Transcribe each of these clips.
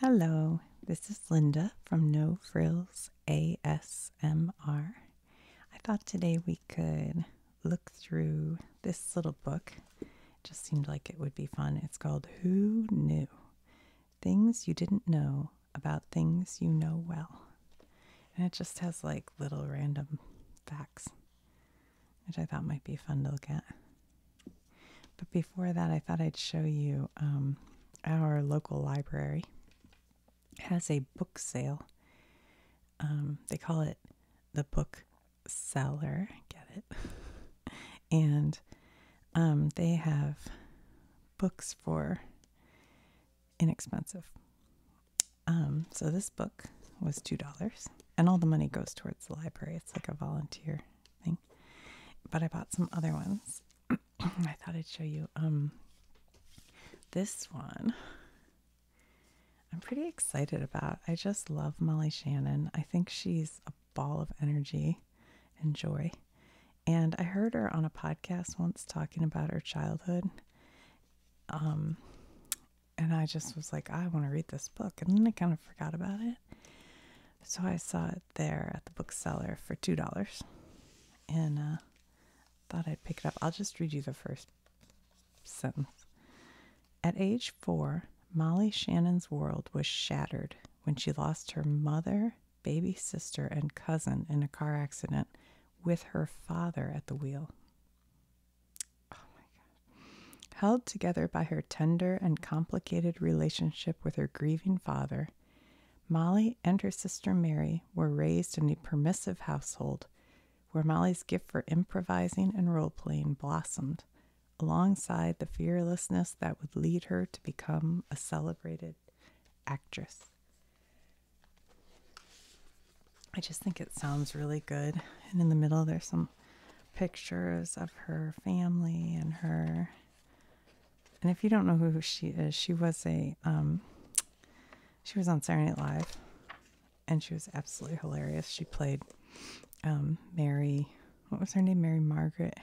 Hello, this is Linda from No Frills ASMR. I thought today we could look through this little book. just seemed like it would be fun. It's called Who Knew? Things You Didn't Know About Things You Know Well. And it just has like little random facts, which I thought might be fun to look at. But before that, I thought I'd show you um, our local library has a book sale. Um, they call it the book seller. Get it? and um, they have books for inexpensive. so this book was two dollars, and all the money goes towards the library. It's like a volunteer thing. But I bought some other ones. I thought I'd show you. Um, this one I'm pretty excited about. I just love Molly Shannon. I think she's a ball of energy and joy. And I heard her on a podcast once talking about her childhood. Um, and I just was like, I want to read this book. And then I kind of forgot about it. So I saw it there at the bookseller for $2 and uh, thought I'd pick it up. I'll just read you the first sentence. At age four, Molly Shannon's world was shattered when she lost her mother, baby sister, and cousin in a car accident with her father at the wheel. Oh my God. Held together by her tender and complicated relationship with her grieving father, Molly and her sister Mary were raised in a permissive household where Molly's gift for improvising and role playing blossomed alongside the fearlessness that would lead her to become a celebrated actress. I just think it sounds really good. And in the middle, there's some pictures of her family and her. And if you don't know who she is, she was a um, she was on Saturday Night Live, and she was absolutely hilarious. She played um, Mary. What was her name? Mary Margaret.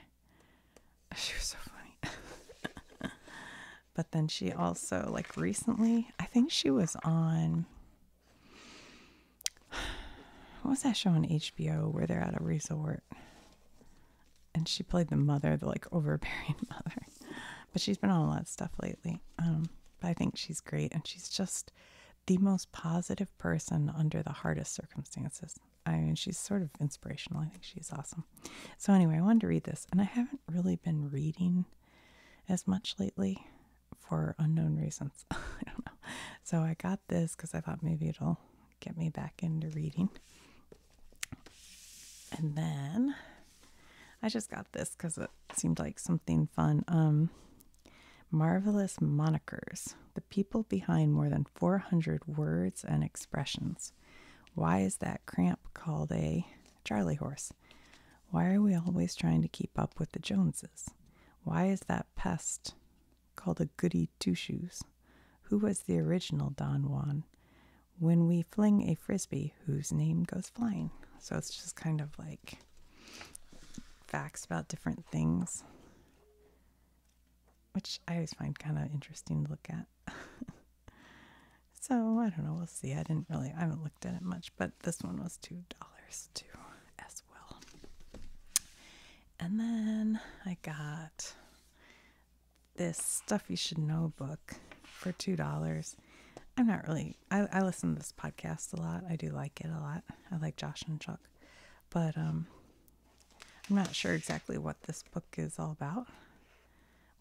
She was so funny. but then she also like recently, I think she was on what was that show on HBO where they're at a resort? And she played the mother, the like overbearing mother. But she's been on a lot of stuff lately. Um, but I think she's great and she's just the most positive person under the hardest circumstances. I mean, she's sort of inspirational. I think she's awesome. So, anyway, I wanted to read this, and I haven't really been reading as much lately for unknown reasons. I don't know. So, I got this because I thought maybe it'll get me back into reading. And then I just got this because it seemed like something fun. Um, Marvelous Monikers The People Behind More Than 400 Words and Expressions. Why is that cramp called a charley horse? Why are we always trying to keep up with the Joneses? Why is that pest called a goody two shoes, who was the original Don Juan. When we fling a frisbee, whose name goes flying. So it's just kind of like facts about different things, which I always find kind of interesting to look at. so I don't know, we'll see. I didn't really, I haven't looked at it much, but this one was $2 too as well. And then I got this Stuff You Should Know book for $2. I'm not really, I, listen to this podcast a lot. I do like it a lot. I like Josh and Chuck. But um, I'm not sure exactly what this book is all about,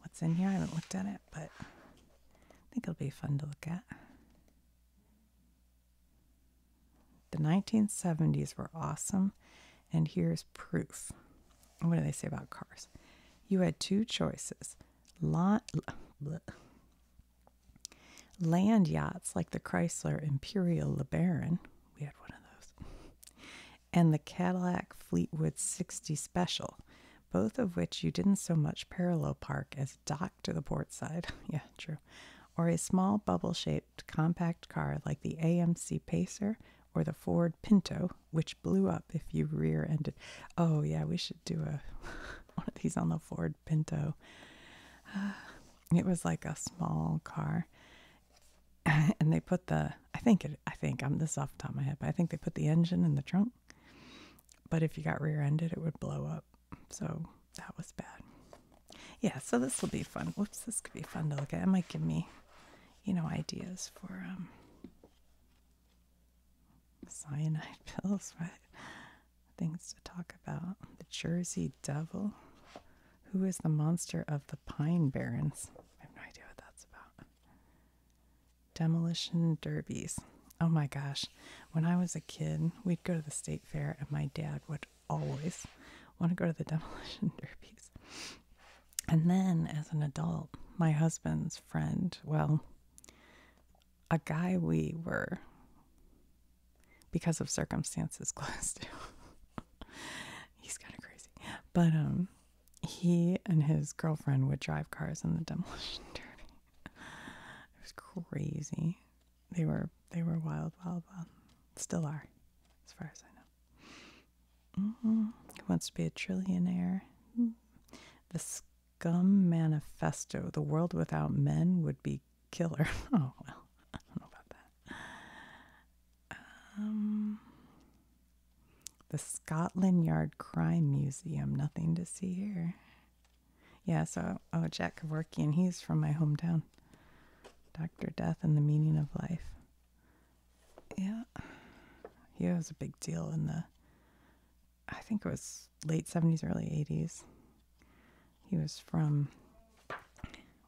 what's in here. I haven't looked at it, but I think it'll be fun to look at. The 1970s were awesome, and here's proof. What do they say about cars? You had two choices. land yachts like the Chrysler Imperial LeBaron, we had one of those, and the Cadillac Fleetwood 60 Special, both of which you didn't so much parallel park as dock to the port side. yeah, true or a small bubble shaped compact car like the AMC Pacer or the Ford Pinto, which blew up if you rear ended. Oh, yeah, we should do a one of these on the Ford Pinto. it was like a small car. and they put the, I think I think I'm this off the top of my head, but I think they put the engine in the trunk. But if you got rear ended, it would blow up. So that was bad. Yeah, so this will be fun. Whoops, this could be fun to look at. It might give me, you know, ideas for um, cyanide pills, right? Things to talk about. The Jersey Devil. Who is the monster of the Pine Barrens? I have no idea what that's about. Demolition Derbies. Oh my gosh. When I was a kid, we'd go to the state fair and my dad would always want to go to the demolition derbies. And then as an adult, my husband's friend, well, a guy we were, because of circumstances, close to. He's kind of crazy. But um, he and his girlfriend would drive cars in the demolition derby. It was crazy they were they were wild, wild, wild. Still are, as far as I know. He mm-hmm. wants to be a trillionaire. The Scum Manifesto: The world without men would be killer. Oh well, I don't know about that. Um, the Scotland Yard Crime Museum. Nothing to see here. Yeah, so oh Jack Kevorkian, he's from my hometown. Dr. Death and the Meaning of Life. Yeah. He was a big deal in the, I think it was late 70s, early 80s. He was from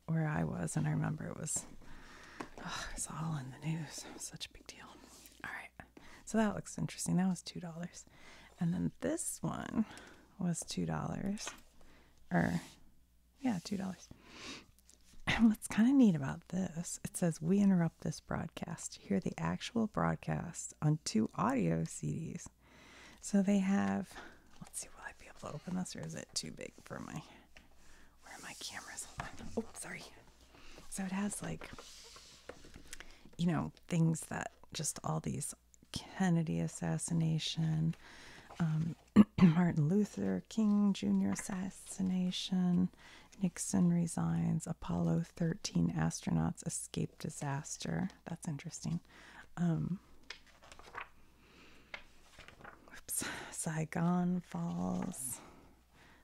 where I was, and I remember it was, oh, it all in the news. such a big deal. All right. So that looks interesting. That was $2. And then this one was $2. Or yeah, $2. And what's kind of neat about this, it says, We interrupt this broadcast. to Hear the actual broadcast on two audio CDs. So they have, let's see, will I be able to open this or is it too big for my, where are my cameras? Oh, sorry. So it has like, you know, things that just all these Kennedy assassination, um, Martin Luther King Jr. assassination, Nixon resigns, Apollo 13 astronauts escape disaster. That's interesting. Um, Saigon falls,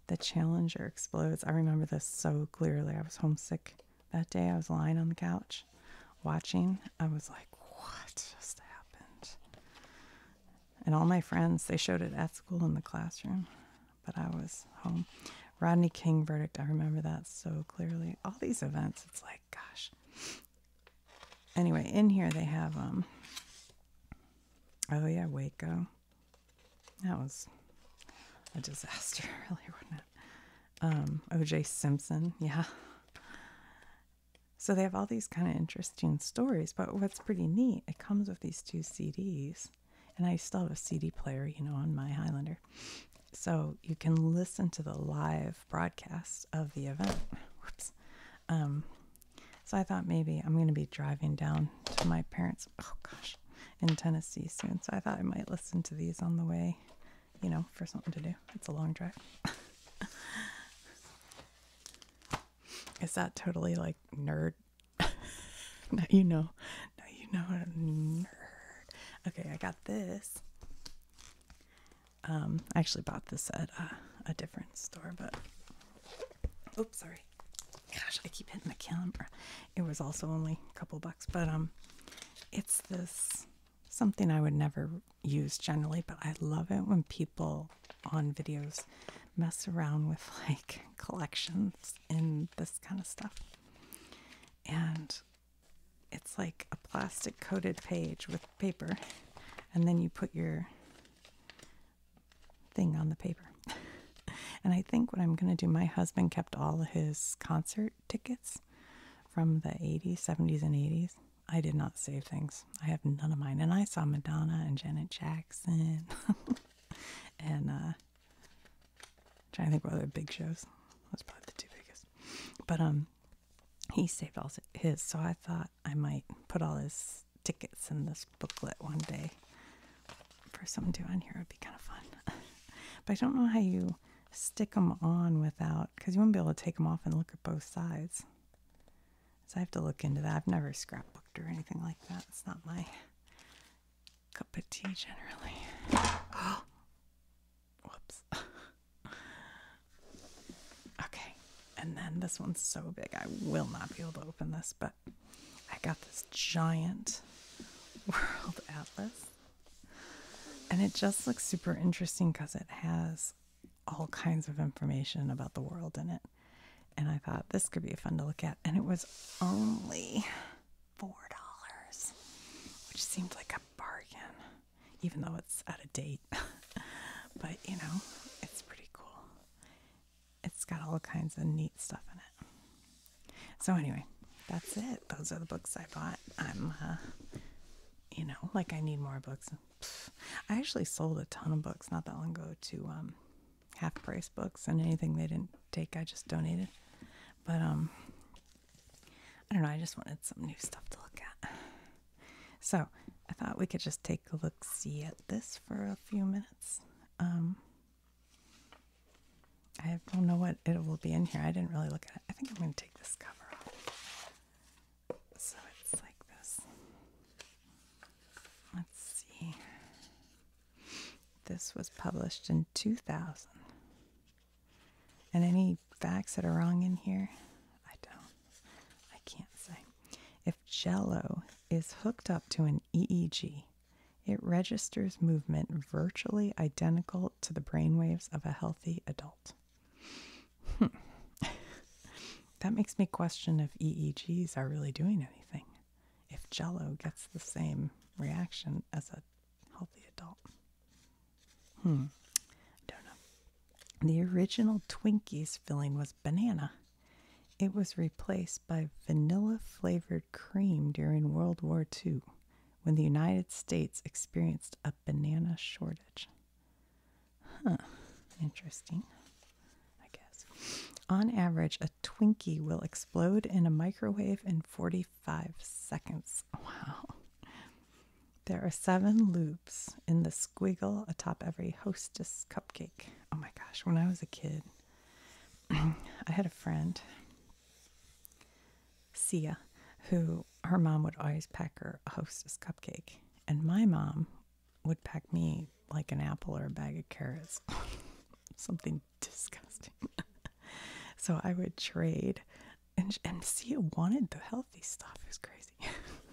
the Challenger explodes. I remember this so clearly. I was homesick that day. I was lying on the couch watching, I was like, what just happened? And all my friends, they showed it at school in the classroom, but I was home. Rodney King verdict, I remember that so clearly. All these events, it's like, gosh. Anyway, in here they have, um, oh yeah, Waco. That was a disaster, really, wasn't it? Um, O.J. Simpson, yeah. So they have all these kind of interesting stories. But what's pretty neat, it comes with these two CDs. And I still have a CD player, you know, on my Highlander. So you can listen to the live broadcast of the event. Whoops. Um, so I thought maybe I'm going to be driving down to my parents. Oh, gosh. In Tennessee soon. So I thought I might listen to these on the way, you know, for something to do. It's a long drive. Is that totally like nerd? now you know. Now you know nerd. Okay, I got this. Um, I actually bought this at a different store, but oops, sorry. Gosh, I keep hitting the camera. It was also only a couple bucks, but um, it's this something I would never use generally, but I love it when people on videos mess around with like collections and this kind of stuff. And it's like a plastic coated page with paper, and then you put your thing on the paper. and I think what I'm going to do, my husband kept all his concert tickets from the 80s, 70s, and 80s. I did not save things. I have none of mine. And I saw Madonna and Janet Jackson and uh trying to think what other big shows. That's probably the two biggest. But um he saved all his, so I thought I might put all his tickets in this booklet one day for someone to on here. It'd be kind of fun. but I don't know how you stick them on without, because you will not be able to take them off and look at both sides. So I have to look into that. I've never scrapbooked or anything like that. It's not my cup of tea generally. Whoops. okay. And then this one's so big, I will not be able to open this, but I got this giant world atlas. And it just looks super interesting because it has all kinds of information about the world in it. And I thought this could be fun to look at. And it was only $4, which seemed like a bargain, even though it's out of date. but you know, it's pretty cool. It's got all kinds of neat stuff in it. So, anyway, that's it. Those are the books I bought. I'm, uh, you know, like I need more books I actually sold a ton of books not that long ago to um, half price books, and anything they didn't take, I just donated. But um, I don't know. I just wanted some new stuff to look at. So I thought we could just take a look see at this for a few minutes. Um, I don't know what it will be in here. I didn't really look at it. I think I'm going to take this cover off. So it's like this. Let's see. This was published in 2000. And any facts that are wrong in here, I don't. I can't say. If jello is hooked up to an EEG, it registers movement virtually identical to the brainwaves of a healthy adult. Hmm. that makes me question if EEGs are really doing anything, if jello gets the same reaction as a healthy adult. Hmm, I don't know. The original Twinkies filling was banana. It was replaced by vanilla flavored cream during World War II when the United States experienced a banana shortage. Huh, interesting, I guess. On average, a Twinkie will explode in a microwave in 45 seconds. Wow. There are seven loops in the squiggle atop every hostess cupcake. Oh my gosh, when I was a kid, I had a friend, Sia, who her mom would always pack her a hostess cupcake, and my mom would pack me like an apple or a bag of carrots, something disgusting. so I would trade, and and Sia wanted the healthy stuff. It was crazy.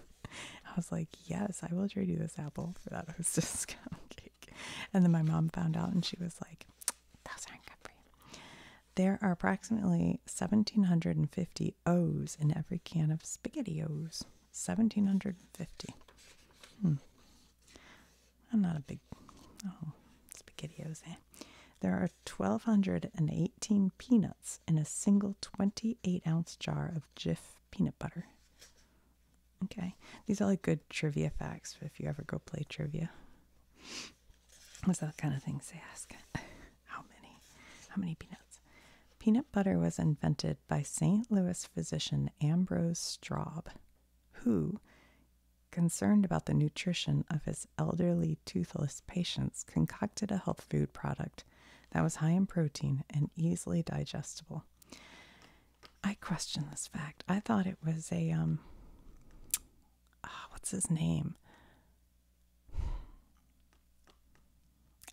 I was like, yes, I will trade you this apple for that hostess cupcake. And then my mom found out, and she was like, those aren't good for you. There are approximately 1750 O's in every can of spaghetti O's. 1750. Hmm. I'm not a big, oh, SpaghettiOs, eh. There are 1,218 peanuts in a single 28 ounce jar of Jif peanut butter. Okay, these are like good trivia facts if you ever go play trivia. Those are the kind of things they ask how many? How many peanuts? Peanut butter was invented by St. Louis physician Ambrose Straub, who, concerned about the nutrition of his elderly toothless patients, concocted a health food product that was high in protein and easily digestible. I question this fact. I thought it was a um ah, what's his name?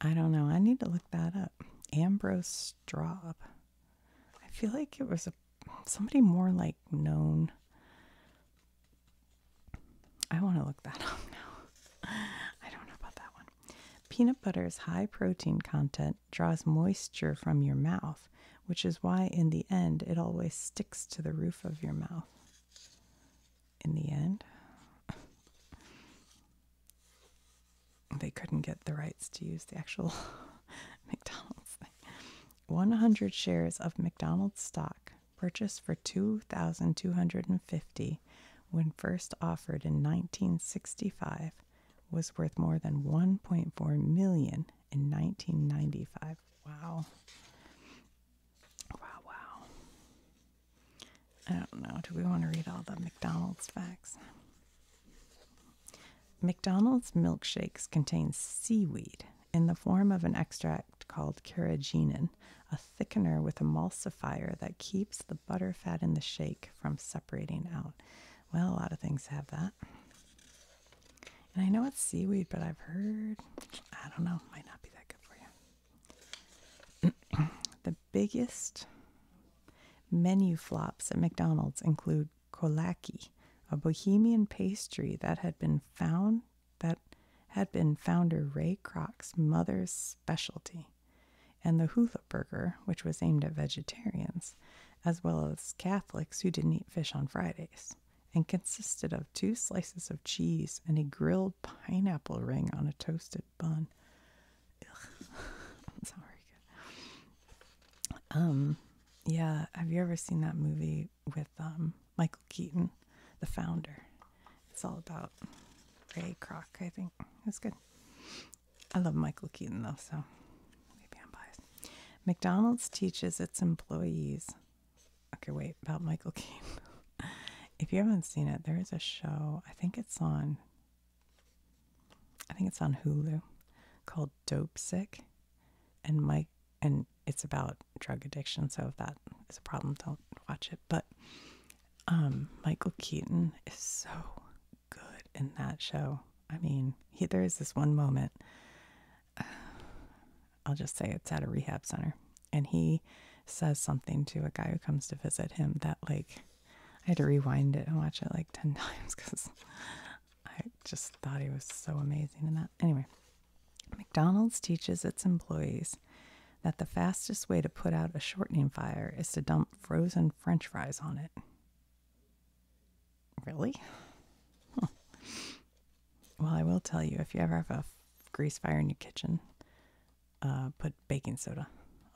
I don't know. I need to look that up. Ambrose Straub. I feel like it was a somebody more like known. I want to look that up now. I don't know about that one. Peanut butter's high protein content draws moisture from your mouth, which is why in the end it always sticks to the roof of your mouth in the end. they couldn't get the rights to use the actual McDonald's 100 shares of McDonald's stock purchased for 2250 when first offered in 1965 was worth more than 1.4 million in 1995. Wow. Wow, wow. I don't know. Do we want to read all the McDonald's facts? McDonald's milkshakes contain seaweed in the form of an extract called carrageenan, a thickener with emulsifier that keeps the butter fat in the shake from separating out. Well, a lot of things have that. And I know it's seaweed, but I've heard, I don't know, might not be that good for you. the biggest menu flops at McDonald's include kolaki, a bohemian pastry that had been found that had been founder Ray Kroc's mother's specialty, and the hula burger, which was aimed at vegetarians, as well as Catholics who didn't eat fish on Fridays, and consisted of two slices of cheese and a grilled pineapple ring on a toasted bun. Ugh. Um, yeah, have you ever seen that movie with um, Michael Keaton, The Founder? It's all about Ray Kroc, I think. It's good. I love Michael Keaton though, so maybe I'm biased. McDonald's teaches its employees. Okay, wait, about Michael Keaton. if you haven't seen it, there is a show. I think it's on. I think it's on Hulu, called Dope Sick, and Mike, and it's about drug addiction. So if that is a problem, don't watch it. But um, Michael Keaton is so good in that show. I mean, he, there is this one moment. I'll just say it's at a rehab center and he says something to a guy who comes to visit him that like I had to rewind it and watch it like 10 times because I just thought he was so amazing in that. Anyway, McDonald's teaches its employees that the fastest way to put out a shortening fire is to dump frozen french fries on it. Really? Well, I will tell you if you ever have a grease fire in your kitchen, uh, put baking soda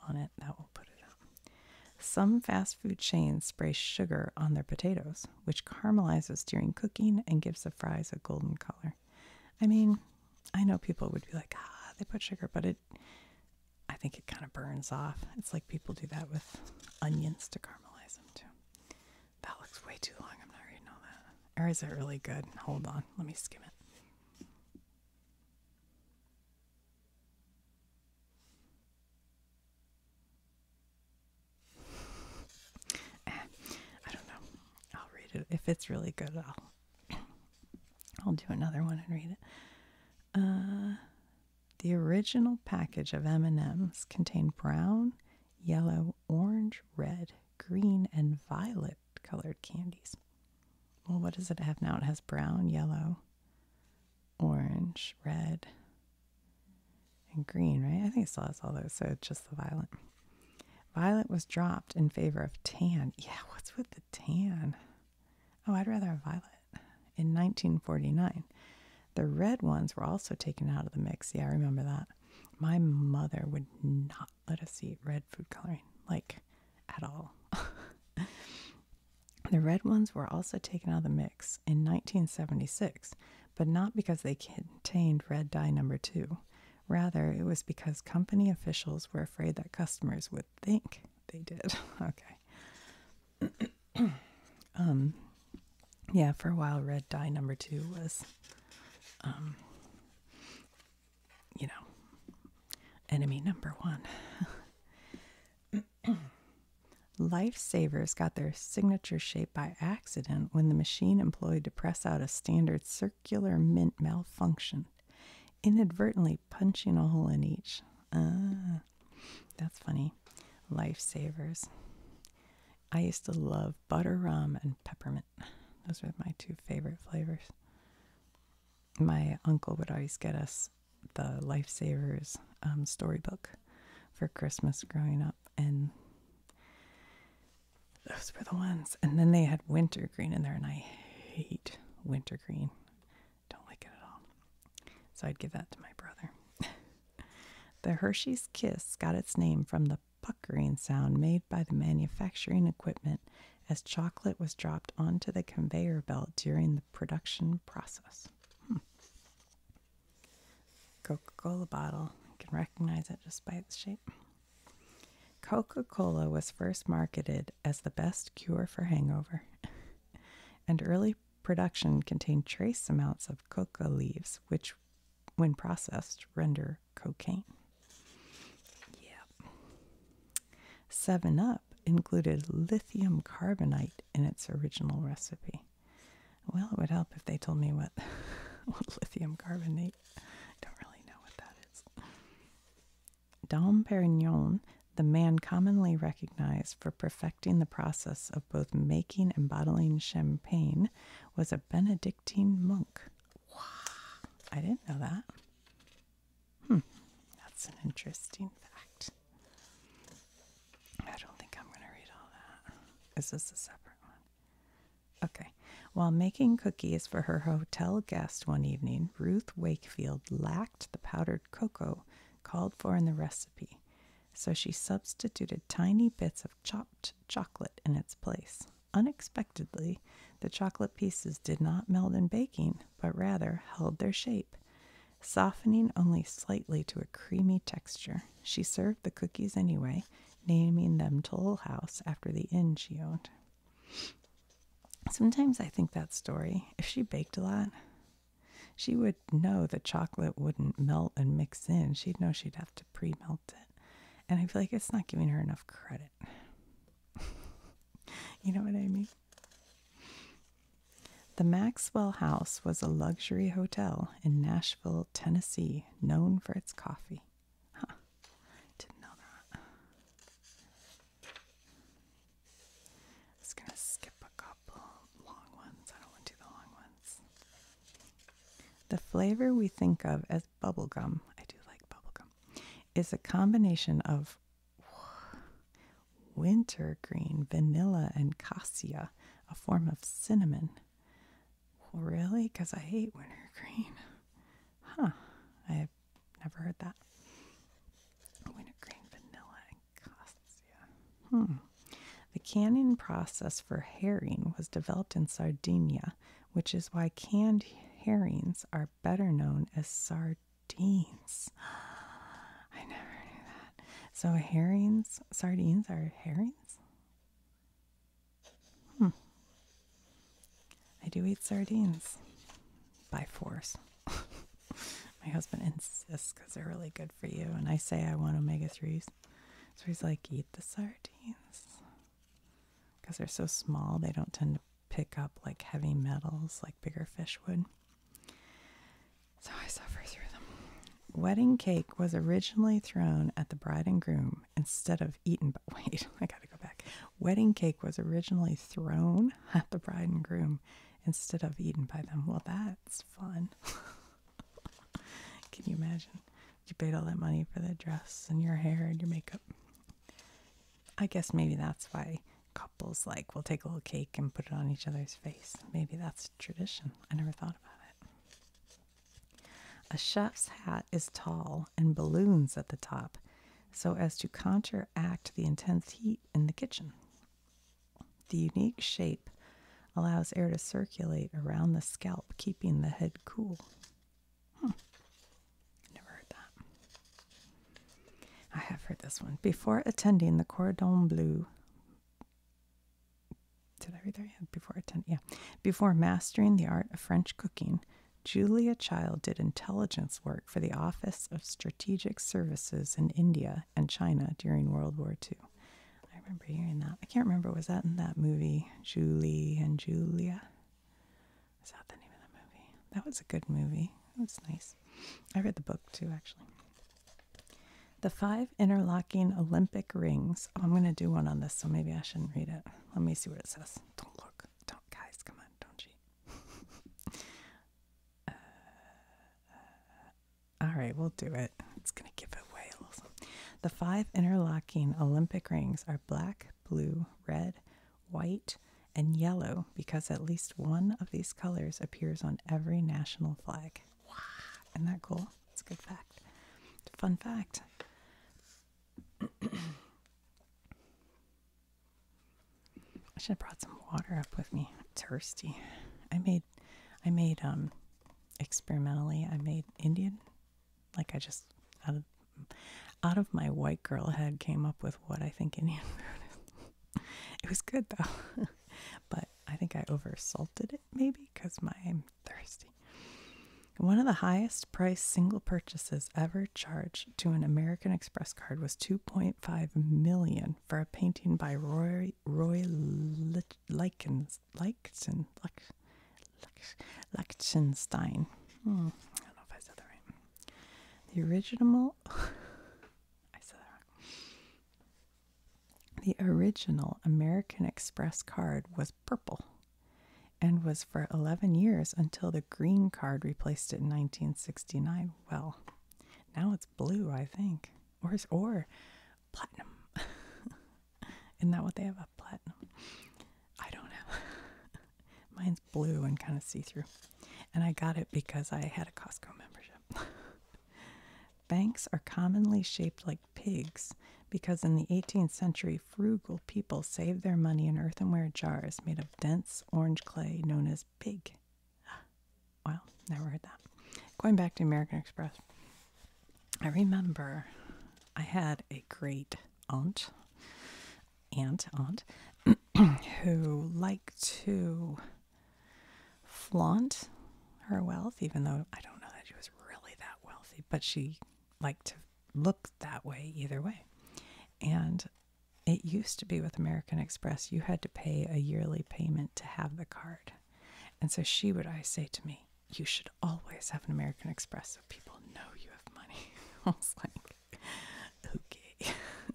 on it. That will put it up. Some fast food chains spray sugar on their potatoes, which caramelizes during cooking and gives the fries a golden color. I mean, I know people would be like, ah, they put sugar, but it, I think it kind of burns off. It's like people do that with onions to caramelize them too. That looks way too long. I'm not reading all that. Or is it really good? Hold on. Let me skim it. Eh, I don't know. I'll read it if it's really good. I'll I'll do another one and read it. Uh, the original package of M&Ms contained brown, yellow, orange, red, green, and violet colored candies. Well, what does it have now? It has brown, yellow, orange, red, and green, right? I think it still has all those, so it's just the violet. Violet was dropped in favor of tan. Yeah, what's with the tan? Oh, I'd rather violet. In 1949, the red ones were also taken out of the mix. Yeah, I remember that. My mother would not let us see red food coloring, like at all. the red ones were also taken out of the mix in 1976, but not because they contained red dye number two. Rather, it was because company officials were afraid that customers would think they did. okay. um, yeah, for a while, red dye number two was um, you know, enemy number one. Lifesavers got their signature shape by accident when the machine employed to press out a standard circular mint malfunctioned, inadvertently punching a hole in each. Ah, that's funny. Lifesavers. I used to love butter rum and peppermint. Those were my two favorite flavors my uncle would always get us the Lifesavers um, storybook for Christmas growing up, and those were the ones. And then they had wintergreen in there, and I hate wintergreen. Don't like it at all. So I'd give that to my brother. the Hershey's Kiss got its name from the puckering sound made by the manufacturing equipment as chocolate was dropped onto the conveyor belt during the production process. Hmm. Coca Cola bottle. You can recognize it just by its shape. Coca Cola was first marketed as the best cure for hangover, and early production contained trace amounts of coca leaves, which, when processed, render cocaine. Yeah. 7 Up included lithium carbonate in its original recipe. Well, it would help if they told me what, lithium carbonate. I don't really know what that is. Dom Perignon, the man commonly recognized for perfecting the process of both making and bottling champagne, was a Benedictine monk. Wow. I didn't know that. Hmm, that's an interesting fact. I don't think I'm going to read all that. Is this a separate one? Okay. While making cookies for her hotel guest one evening, Ruth Wakefield lacked the powdered cocoa called for in the recipe, so she substituted tiny bits of chopped chocolate in its place. Unexpectedly, the chocolate pieces did not melt in baking, but rather held their shape, softening only slightly to a creamy texture. She served the cookies anyway, naming them Toll House after the inn she owned. Sometimes I think that story, if she baked a lot, she would know the chocolate wouldn't melt and mix in. She'd know she'd have to pre melt it. And I feel like it's not giving her enough credit. you know what I mean? The Maxwell House was a luxury hotel in Nashville, Tennessee, known for its coffee. Didn't know that. I going to skip a couple long ones. I don't want to do the long ones. The flavor we think of as bubblegum, I do like bubblegum, is a combination of wintergreen, vanilla, and cassia, a form of cinnamon. Really? Because I hate wintergreen. Huh. I've never heard that. Wintergreen, vanilla, and cassia. Hmm. The canning process for herring was developed in Sardinia, which is why canned herrings are better known as sardines. I never knew that. So herrings, sardines are herrings? Hmm. I do eat sardines by force. My husband insists because they're really good for you, and I say I want omega 3s. So he's like, eat the sardines. Because they're so small, they don't tend to pick up like heavy metals like bigger fish would. So I suffer through them. Wedding cake was originally thrown at the bride and groom instead of eaten. But wait, I gotta go back. Wedding cake was originally thrown at the bride and groom instead of eaten by them. Well, that's fun. Can you imagine? You paid all that money for the dress and your hair and your makeup. I guess maybe that's why couples like will take a little cake and put it on each other's face. Maybe that's tradition. I never thought about it. A chef's hat is tall and balloons at the top so as to counteract the intense heat in the kitchen. The unique shape allows air to circulate around the scalp, keeping the head cool. Never heard that. I have heard this one. Before attending the Cordon Bleu, did I read that? Yeah, before attending, yeah. Before mastering the art of French cooking, Julia Child did intelligence work for the Office of Strategic Services in India and China during World War II. I remember hearing that. I can't remember, was that in that movie, Julie and Julia? Is that the name of the movie? That was a good movie. That was nice. I read the book too, actually. The five interlocking Olympic rings. Oh, I'm going to do one on this, so maybe I shouldn't read it. Let me see what it says. Don't look. Don't, guys, come on, don't cheat. Uh, uh, all right, we'll do it. It's going to give it away a little. The five interlocking Olympic rings are black, blue, red, white, and yellow because at least one of these colors appears on every national flag. Wow, isn't that cool? It's a good fact. fun fact. I should have brought some water up with me. It's thirsty. I made, I made um, experimentally. I made Indian, like I just out of my white girl head came up with what I think in food it was good though, but I think I over salted it maybe because I'm thirsty. One of the highest price single purchases ever charged to an American Express card was 2.5 million for a painting by Roy Roy Lichtenstein. Hmm, I don't know if I said that right. The original I said that The original American Express card was purple and was for 11 years until the green card replaced it in 1969. Well, now it's blue, I think. Or or platinum. Isn't that what they have? A platinum. I don't know. Mine's blue and kind of see through. And I got it because I had a Costco membership. Banks are commonly shaped like pigs because in the 18th century, frugal people saved their money in earthenware jars made of dense orange clay known as pig. Well, never heard that. Going back to American Express, I remember I had a great aunt aunt, aunt, who liked to flaunt her wealth, even though I don't know that she was really that wealthy, but she liked to look that way either way. And it used to be with American Express, you had to pay a yearly payment to have the card. And so she would I say to me, You should always have an American Express so people know you have money. I like, okay.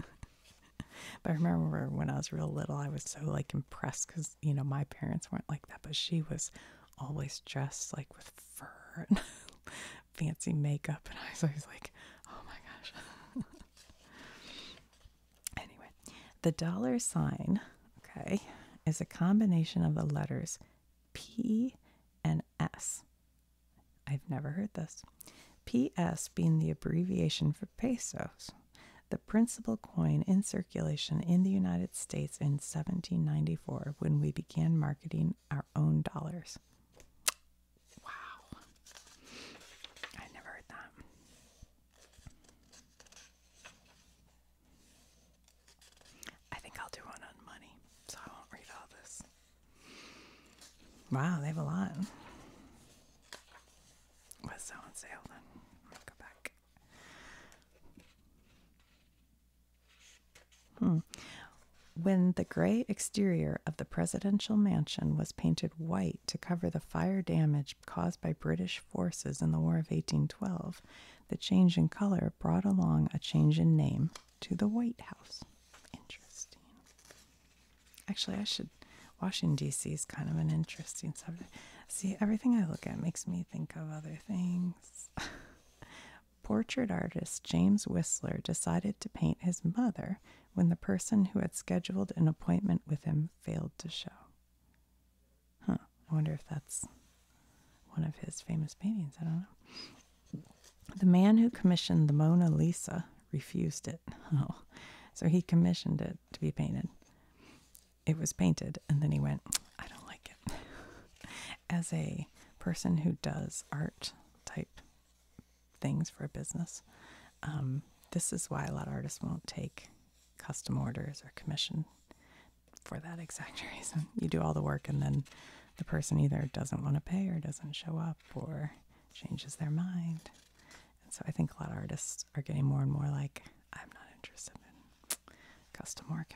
but I remember when I was real little, I was so like impressed because you know my parents weren't like that, but she was always dressed like with fur and fancy makeup, and I was always like, oh my gosh. anyway, the dollar sign, okay, is a combination of the letters P and S. I've never heard this. PS being the abbreviation for pesos, the principal coin in circulation in the United States in 1794 when we began marketing our own dollars. Wow. I never heard that. I think I'll do one on money, so I won't read all this. Wow, they have a lot. What's on sale then? go back. Hmm. When the gray exterior of the presidential mansion was painted white to cover the fire damage caused by British forces in the War of 1812, the change in color brought along a change in name to the White House. Interesting. Actually, I should. Washington, D.C. is kind of an interesting subject. See, everything I look at makes me think of other things. Portrait artist James Whistler decided to paint his mother when the person who had scheduled an appointment with him failed to show. Huh, I wonder if that's one of his famous paintings. I don't know. The man who commissioned the Mona Lisa refused it. Oh. so he commissioned it to be painted. It was painted, and then he went, I don't like it. As a person who does art type things for a business, um, this is why a lot of artists won't take custom orders or commission for that exact reason. You do all the work and then the person either doesn't want to pay or doesn't show up or changes their mind. And so I think a lot of artists are getting more and more like, I'm not interested in custom work.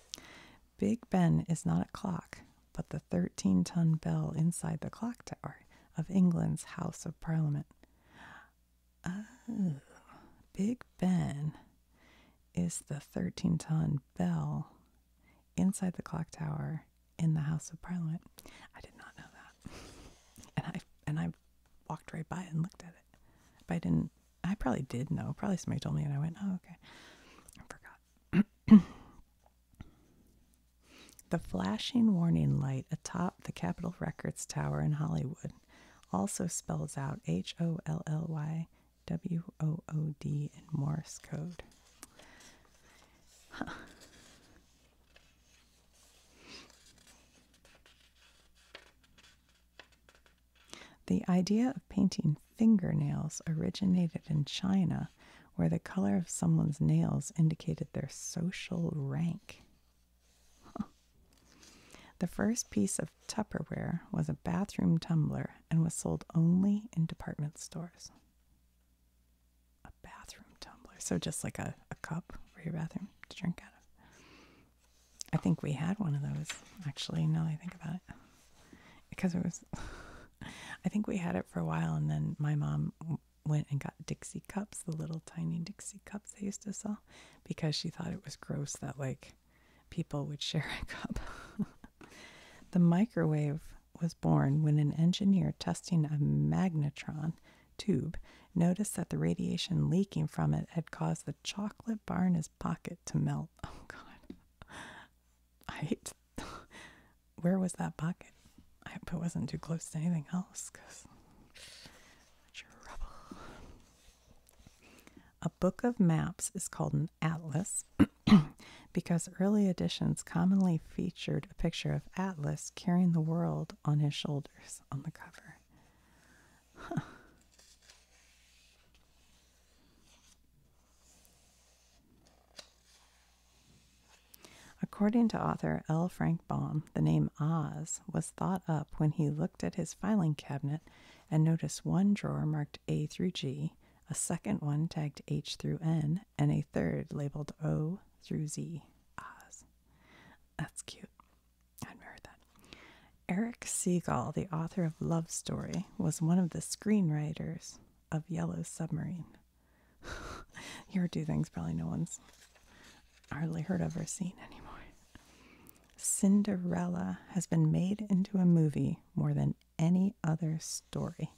Big Ben is not a clock, but the 13 ton bell inside the clock tower of England's House of Parliament. Oh, Big Ben is the 13 ton bell inside the clock tower in the House of Parliament. I did not know that, and I and I walked right by and looked at it, but I didn't. I probably did know. Probably somebody told me, and I went, "Oh, okay." I forgot. the flashing warning light atop the Capitol Records Tower in Hollywood also spells out H O L L Y W O O D in Morse code. The idea of painting fingernails originated in China, where the color of someone's nails indicated their social rank. The first piece of Tupperware was a bathroom tumbler and was sold only in department stores a bathroom tumbler. So just like a, a cup for your bathroom to drink out of. I think we had one of those actually, no, I think about it. Because it was, I think we had it for a while, and then my mom went and got Dixie cups, the little tiny Dixie cups they used to sell, because she thought it was gross that like people would share a cup. The microwave was born when an engineer testing a magnetron tube noticed that the radiation leaking from it had caused the chocolate bar in his pocket to melt. Oh, God. I hate. Where was that pocket? I hope it wasn't too close to anything else because A book of maps is called an atlas. because early editions commonly featured a picture of Atlas carrying the world on his shoulders on the cover. According to author L. Frank Baum, the name Oz was thought up when he looked at his filing cabinet and noticed one drawer marked A through G, a second one tagged H through N, and a third labeled O through Z, Oz. That's cute. I that. Eric Segal, the author of Love Story, was one of the screenwriters of Yellow Submarine. Your two things probably no one's hardly heard of or seen anymore. Cinderella has been made into a movie more than any other story.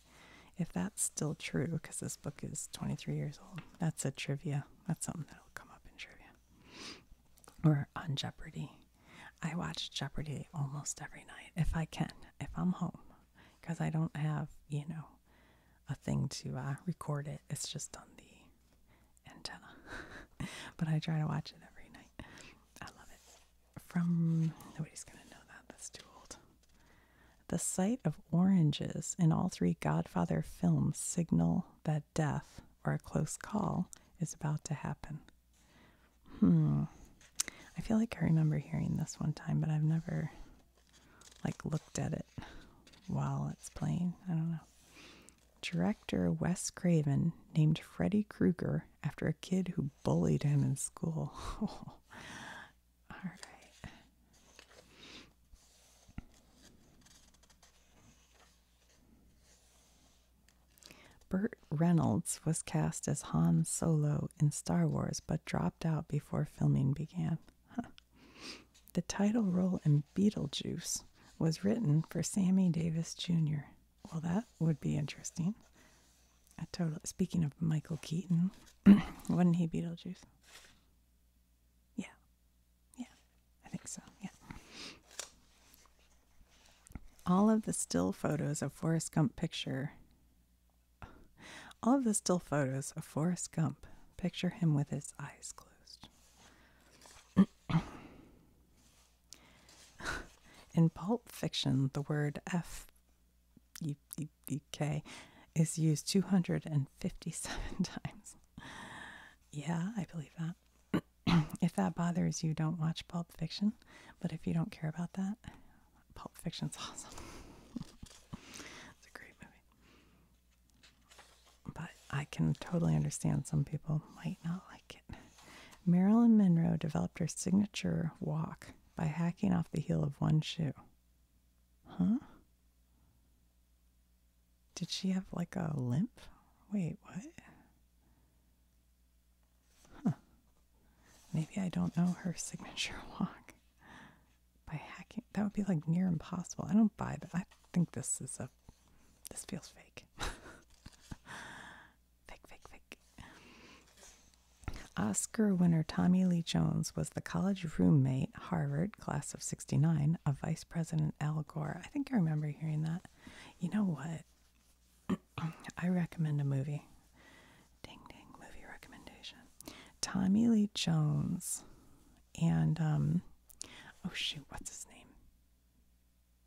If that's still true, because this book is 23 years old, that's a trivia. That's something that'll come up in trivia or on Jeopardy. I watch Jeopardy almost every night if I can, if I'm home, because I don't have, you know, a thing to uh, record it. It's just on the antenna. but I try to watch it every night. I love it from nobody's gonna know that that's too old. The sight of oranges in all three Godfather films signal that death or a close call is about to happen. Hmm. I feel like I remember hearing this one time, but I've never like looked at it while it's playing. I don't know. Director Wes Craven named Freddy Krueger after a kid who bullied him in school. All right. Burt Reynolds was cast as Han Solo in Star Wars but dropped out before filming began. The title role in Beetlejuice was written for Sammy Davis Jr. Well, that would be interesting. I totally. Speaking of Michael Keaton, wasn't he Beetlejuice? Yeah, yeah, I think so. Yeah. All of the still photos of Forrest Gump picture. All of the still photos of Forrest Gump picture him with his eyes closed. In Pulp Fiction, the word F UK is used 257 times. Yeah, I believe that. if that bothers you, don't watch Pulp Fiction. But if you don't care about that, Pulp Fiction's awesome. it's a great movie. But I can totally understand some people might not like it. Marilyn Monroe developed her signature walk by hacking off the heel of one shoe. Huh? Did she have like a limp? Wait, what? Maybe I don't know her signature walk. By hacking, that would be like near impossible. I don't buy that. I think this is a, this feels fake. fake, fake, fake. Oscar winner Tommy Lee Jones was the college roommate, Harvard, class of 69, of Vice President Al Gore. I think I remember hearing that. You know what? I recommend a movie. Ding ding, movie recommendation. Tommy Lee Jones and, um, oh shoot, what's his name?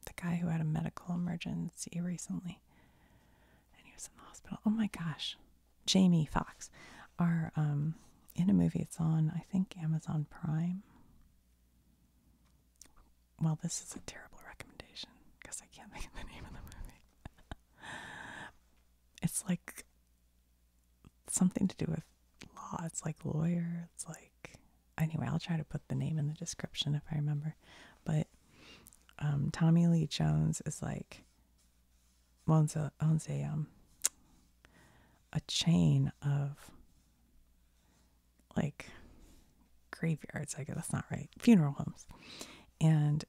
The guy who had a medical emergency recently and he was in the hospital. Oh my gosh. Jamie Fox are um, in a movie. It's on, I think, Amazon Prime. Well, this is a terrible recommendation because I can't think of the name of the movie. it's like something to do with law. It's like lawyer. It's like anyway. I'll try to put the name in the description if I remember. But um, Tommy Lee Jones is like owns a owns a um a chain of like graveyards. I guess that's not right. Funeral homes, and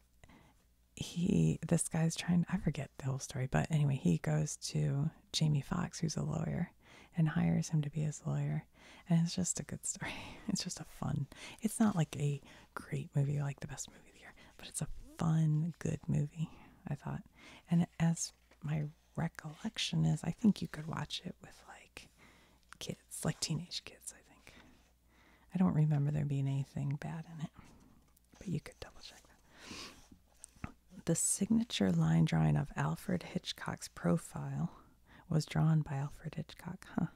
he this guy's trying. I forget the whole story, but anyway, he goes to Jamie Fox, who's a lawyer, and hires him to be his lawyer. And it's just a good story. It's just a fun. It's not like a great movie, like the best movie of the year, but it's a fun, good movie, I thought. And as my recollection is, I think you could watch it with like kids, like teenage kids, I think. I don't remember there being anything bad in it, but you could double check that. The signature line drawing of Alfred Hitchcock's profile was drawn by Alfred Hitchcock, huh?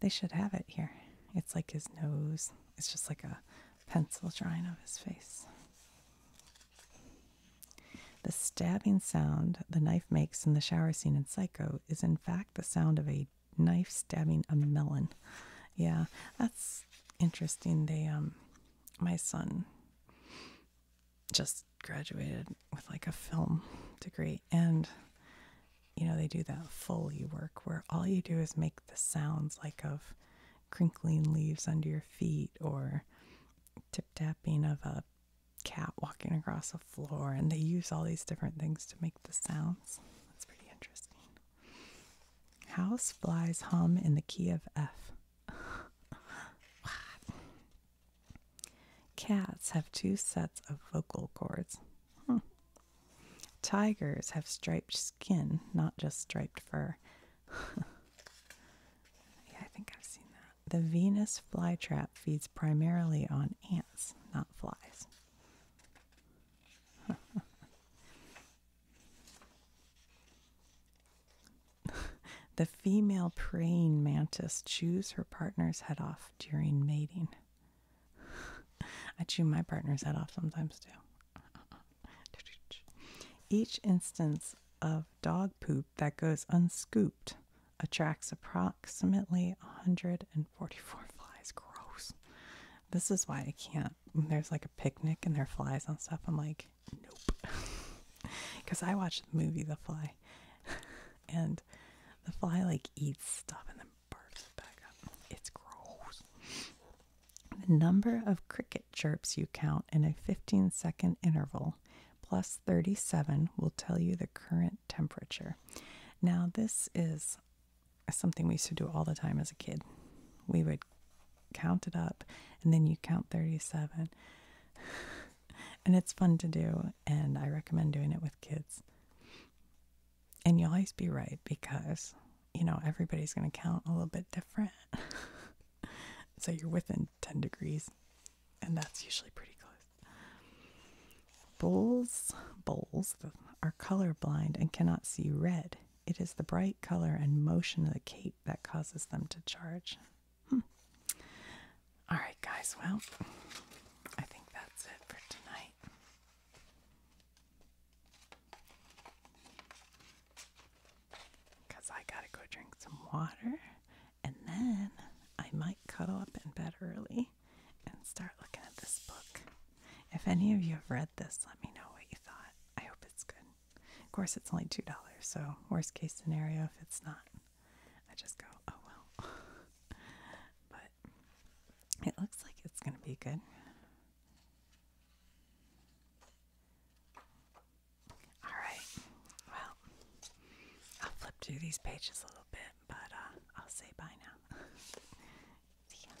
They should have it here. It's like his nose. It's just like a pencil drawing of his face. The stabbing sound the knife makes in the shower scene in Psycho is, in fact, the sound of a knife stabbing a melon. Yeah, that's interesting. They, um, my son just graduated with like a film degree, and you know, they do that Foley work where all you do is make the sounds like of crinkling leaves under your feet or tip tapping of a cat walking across a floor. And they use all these different things to make the sounds. That's pretty interesting. House flies hum in the key of F. Cats have two sets of vocal cords. Hmm. Tigers have striped skin, not just striped fur. yeah, I think I've seen that. The Venus flytrap feeds primarily on ants, not flies. the female praying mantis chews her partner's head off during mating. I chew my partner's head off sometimes too. Each instance of dog poop that goes unscooped attracts approximately 144 flies. Gross. This is why I can't. there's like a picnic and there flies on stuff, I'm like, nope. Because I watched the movie The Fly, and the fly like eats stuff in the barfs back up. It's gross. The number of cricket chirps you count in a 15 second interval plus 37 will tell you the current temperature. Now, this is something we used to do all the time as a kid. We would count it up and then you count 37. And it's fun to do, and I recommend doing it with kids and you'll always be right because you know everybody's going to count a little bit different so you're within 10 degrees and that's usually pretty close bulls bulls are color blind and cannot see red it is the bright color and motion of the cape that causes them to charge hmm. all right guys well i think that's it for tonight because I gotta go drink some water and then I might cuddle up in bed early and start looking at this book. If any of you have read this, let me know what you thought. I hope it's good. Of course, it's only $2, so worst case scenario, if it's not, I just go, oh well. but it looks like it's going to be good. All right. Well, I'll flip through these pages a little bit, but uh, I'll say bye now. See ya.